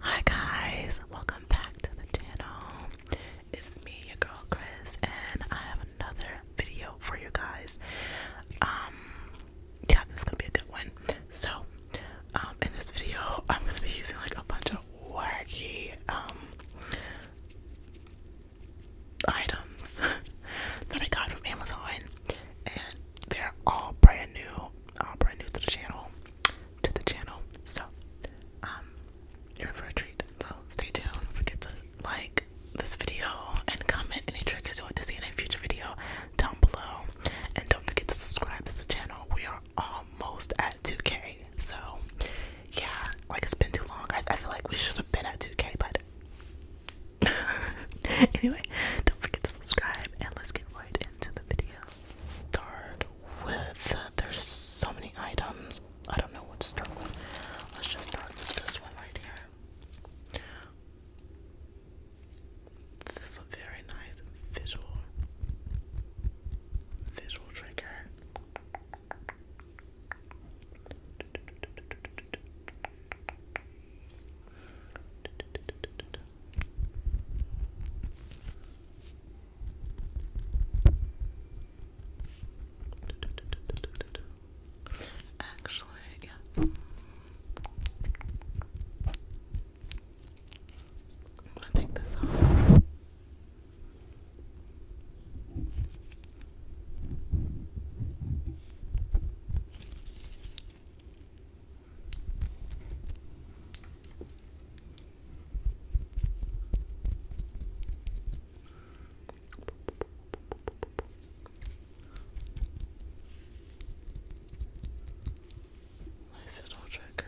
Hi guys, welcome back to the channel. It's me, your girl Chris, and I have another video for you guys. Um, yeah, this is gonna be a good one. So, um, in this video, I'm gonna be using like a bunch of wacky um items that I got from Amazon, and they're all brand new, all brand new to the channel to the channel. So, um, you're in for a treat. So stay tuned. Don't forget to like this video and comment any triggers you want to see in a future video down below. And don't forget to subscribe to the channel. We are almost at 2K. So yeah, like it's been too long. I feel like we should have been at 2K, but anyway, don't forget to subscribe and let's get right into the video start with. There's so many items. I don't know what to start with. Let's just start with this one right here. This is a very nice visual visual trigger. Actually, yeah. I'm gonna take this off. Nice little trigger.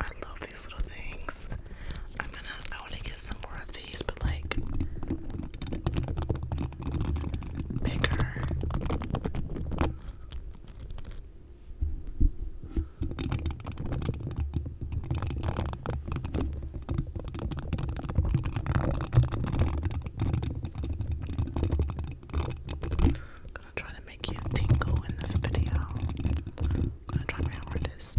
I love these little things. I'm gonna, I want to get some more of these, but like bigger. I'm gonna try to make you tingle in this video. I'm gonna try my hardest.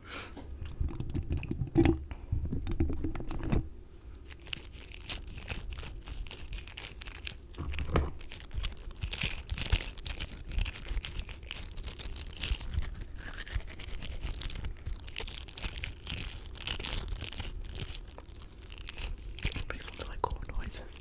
Makes some really cool noises.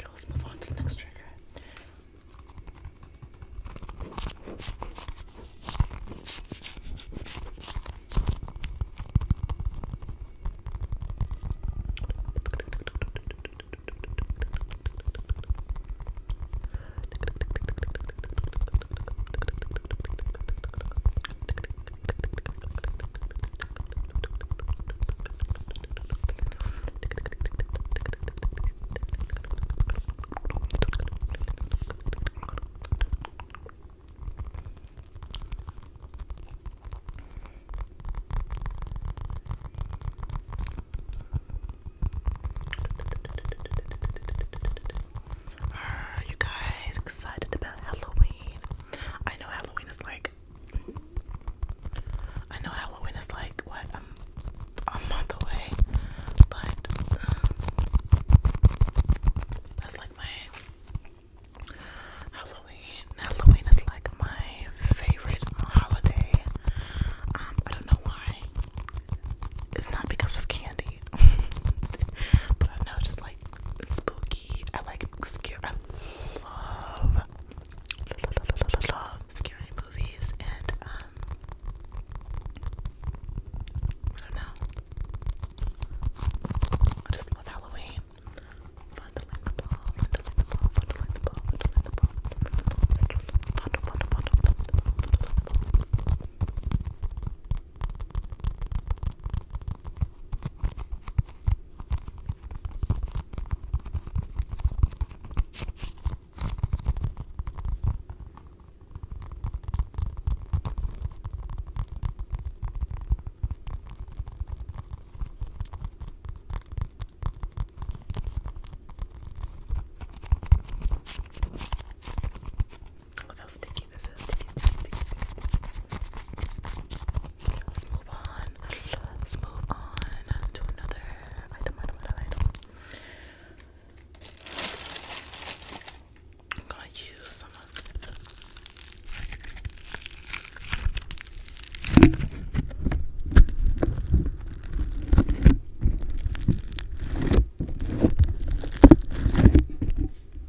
Okay, let's move on to the next trigger. Are you guys excited about Halloween? I know Halloween is like I know Halloween is like what a month away, but um, that's like my Halloween. Halloween is like my favorite holiday. Um, I don't know why. It's not because of candy, but I know just like spooky. I like scary. I love, scary movies and um, I don't know. I just love Halloween. Fondling the ball, fondling the ball, fondling the ball, fondling the ball. Fondle, fondle, fondle, fondle, fondle, fondle, fondle, fondle. Oh, those did Let's move on. Let's move on to another item, item, item, item. I'm gonna use some of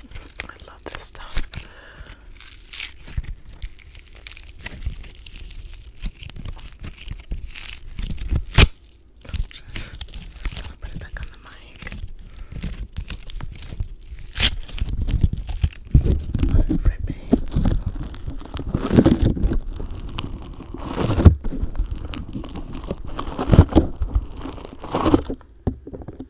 I love this stuff. I'll put it back on the mic. Oh, ripping.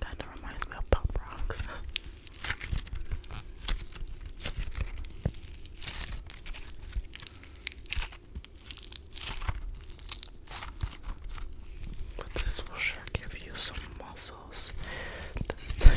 That reminds me of pop rocks. But this will sure give you some muscles. This is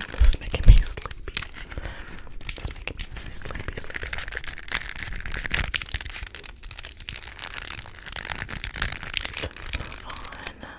This is making me sleepy. This is making me really sleepy, sleepy, sleepy. Move on.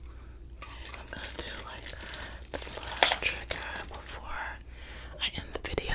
I'm gonna do like the last trigger before I end the video.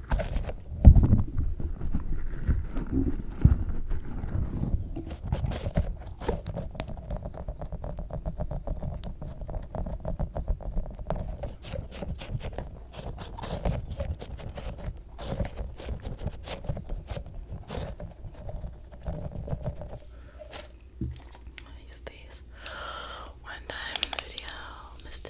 I used these one time in the video, Mr.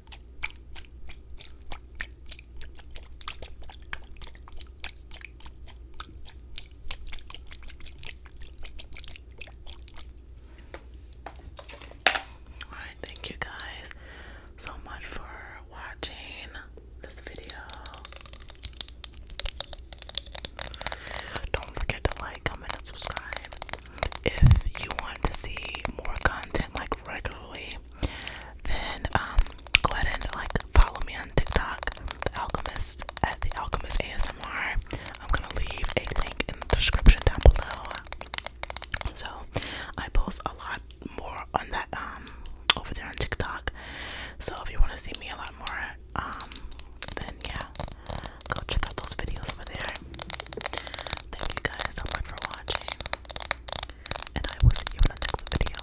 Alright, thank you guys so much for watching this video. Don't forget to like, comment, and subscribe. If you want to see more content like regularly, then um, go ahead and like follow me on TikTok, Alchemist at The Alchemist ASMR. I'm gonna leave a link in the description down below. So I post a lot more on that um, over there on TikTok. So if you want to see me a lot more, um, then yeah, go check out those videos over there. Thank you guys so much for watching. And I will see you in the next video.